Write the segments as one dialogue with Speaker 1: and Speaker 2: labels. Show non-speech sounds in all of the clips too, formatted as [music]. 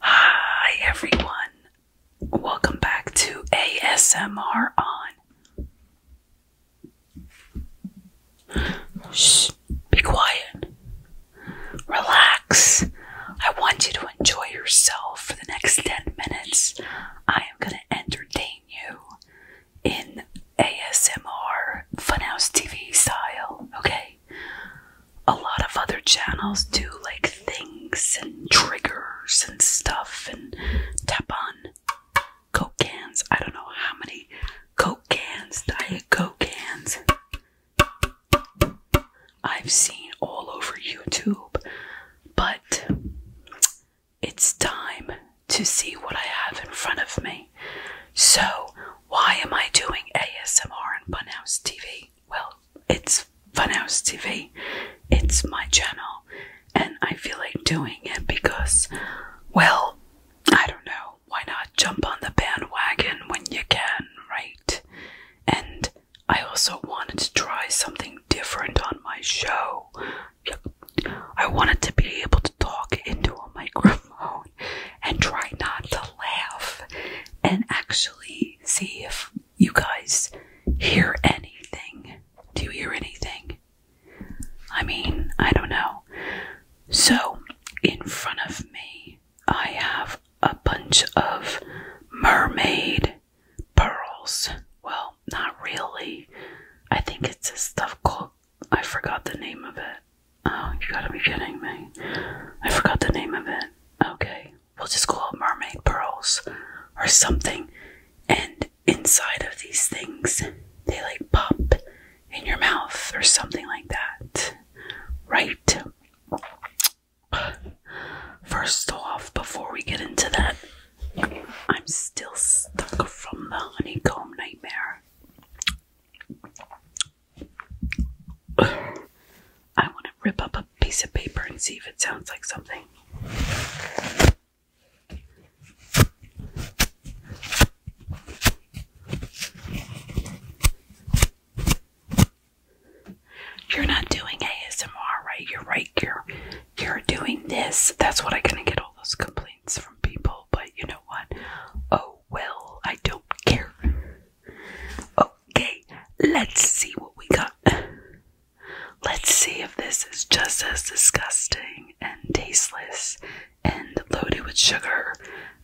Speaker 1: Hi, everyone. Welcome back to ASMR on. Shh, be quiet. Relax. I want you to enjoy yourself for the next 10 minutes. I am going to entertain you in ASMR Funhouse TV style, okay? A lot of other channels do like things and triggers and stuff and tap on Coke cans. I don't know how many Coke cans, Diet Coke cans. I've seen all over YouTube. But it's time to see what I have in front of me. So, why am I doing ASMR on Funhouse TV? Well, it's Funhouse TV, it's my channel, and I feel like doing it because, well, I don't know, why not jump on the bandwagon when you can, right? And I also wanted to try something different on my show. I wanted to be able to talk into a microphone and try not to laugh and actually see if you guys hear anything. Do you hear anything? I mean, I don't know. So, in front of me, I have a bunch of mermaid pearls. Well, not really. I think it's this stuff called. I forgot the name of it. Oh, you gotta be kidding me. I forgot the name of it. Okay, we'll just call it mermaid pearls or something. And inside of these things, they like pop in your mouth or something like that. Right? First off, before we get into that, I'm still stuck from the honeycomb nightmare. I want to rip up a piece of paper and see if it sounds like something. You're not doing ASMR, right? You're right. You're you're doing this. That's what I'm gonna get all those complaints from people. But you know what? Oh well, I don't care. Okay, let's see what we got. Let's see if this is just as disgusting and tasteless and loaded with sugar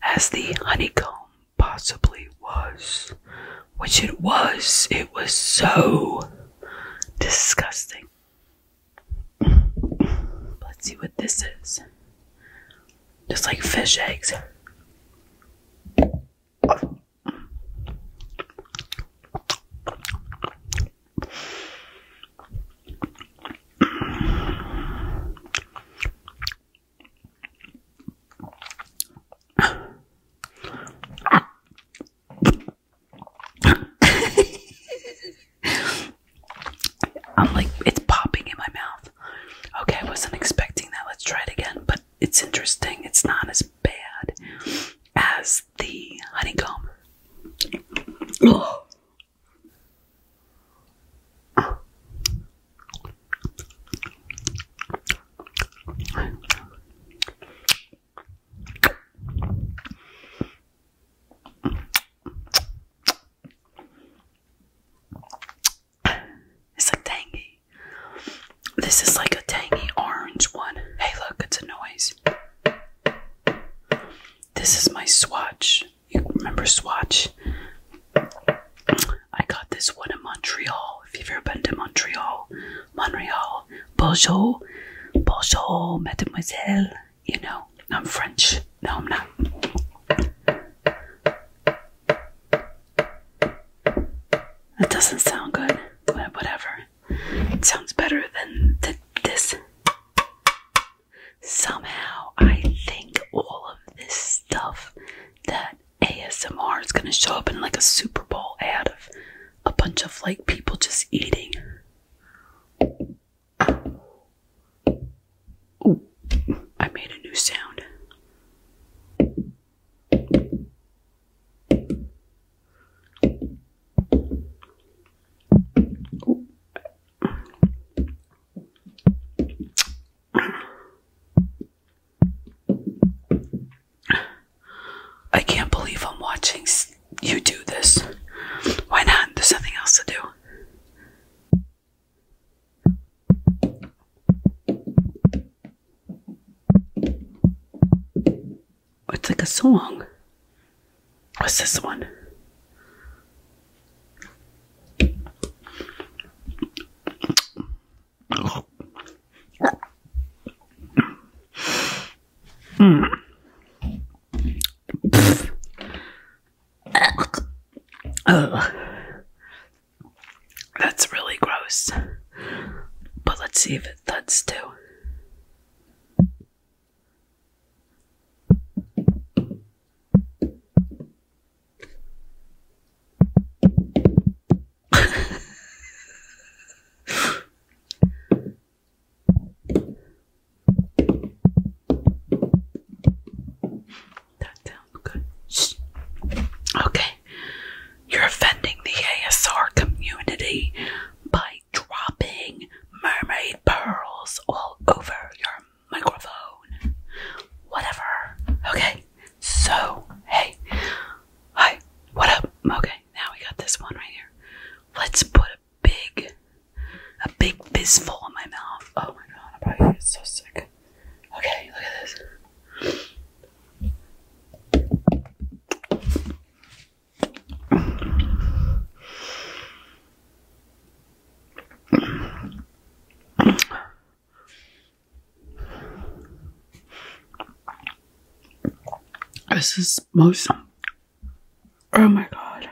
Speaker 1: as the honeycomb possibly was. Which it was. It was so disgusting. Let's see what this is. Just like fish eggs. I'm like, it's popping in my mouth. Okay, I wasn't expecting that. Let's try it again. But it's interesting. It's not as bad as the honeycomb. It's a tangy. This is like a tangy orange one. Hey, look, it's a noise. This is my swatch you remember swatch i got this one in montreal if you've ever been to montreal montreal bonjour bonjour mademoiselle you know i'm french no i'm not that doesn't sound good whatever it sounds better than this somehow I think all of this stuff that ASMR is gonna show up in like a Super Bowl ad of a bunch of like people just eating. I made a new sound. I can't believe I'm watching you do this. Why not? There's nothing else to do. It's like a song. What's this one? Mm. That's really gross. But let's see if it thuds too that sounds good. Okay, you're offending the ASR community by dropping mermaid pearls all over your microphone, whatever. Okay, so hey, hi, what up? Okay, now we got this one right here. Let's put a big, a big fistful in my mouth. Oh my god, I'm probably to get so sick. Okay, look at this. This is most. Oh my god.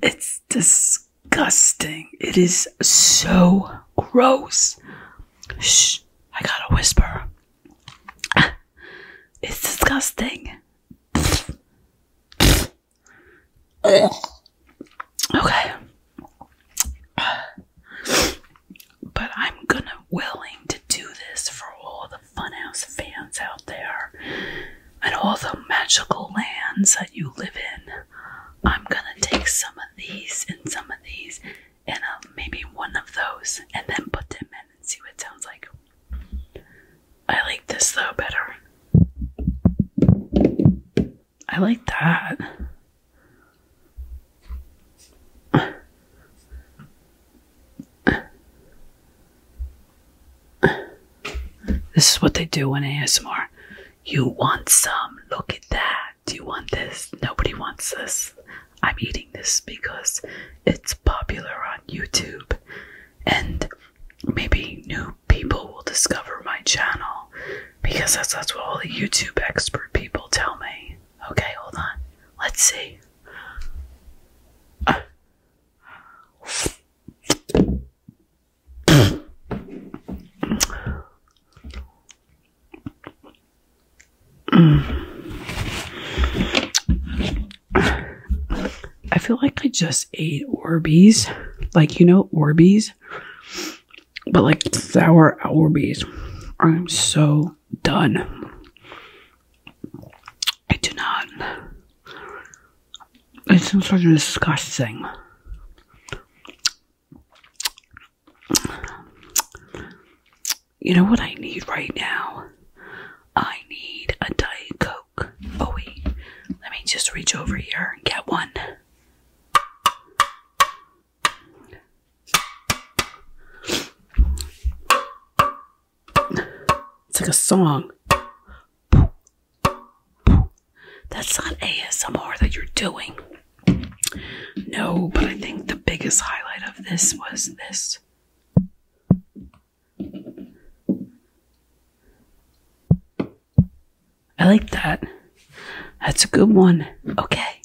Speaker 1: It's disgusting disgusting. It is so gross. Shh, I gotta whisper. [laughs] It's disgusting. [sighs] Okay. [sighs] But I'm gonna willing to do this for all the funhouse fans out there and all the magical lands that you live in. I'm gonna take some of these and some of these and um, maybe one of those and then put them in and see what it sounds like. I like this though better. I like that. This is what they do in ASMR. You want some? Look at that. You want this? Nobody wants this. I'm eating this because it's popular on YouTube, and maybe new people will discover my channel because that's, that's what all the YouTube expert people tell me. Okay, hold on. Let's see. I feel like I just ate Orbeez, like you know Orbeez, but like sour Orbeez. I'm so done. I do not it's sort of disgusting. You know what I need right now? I need a Diet Coke. Oh, wait. Let me just reach over here and get one. It's like a song. That's not ASMR that you're doing. No, but I think the biggest highlight of this was this. I like that. That's a good one. Okay.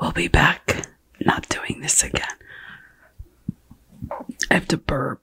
Speaker 1: We'll be back. Not doing this again. I have to burp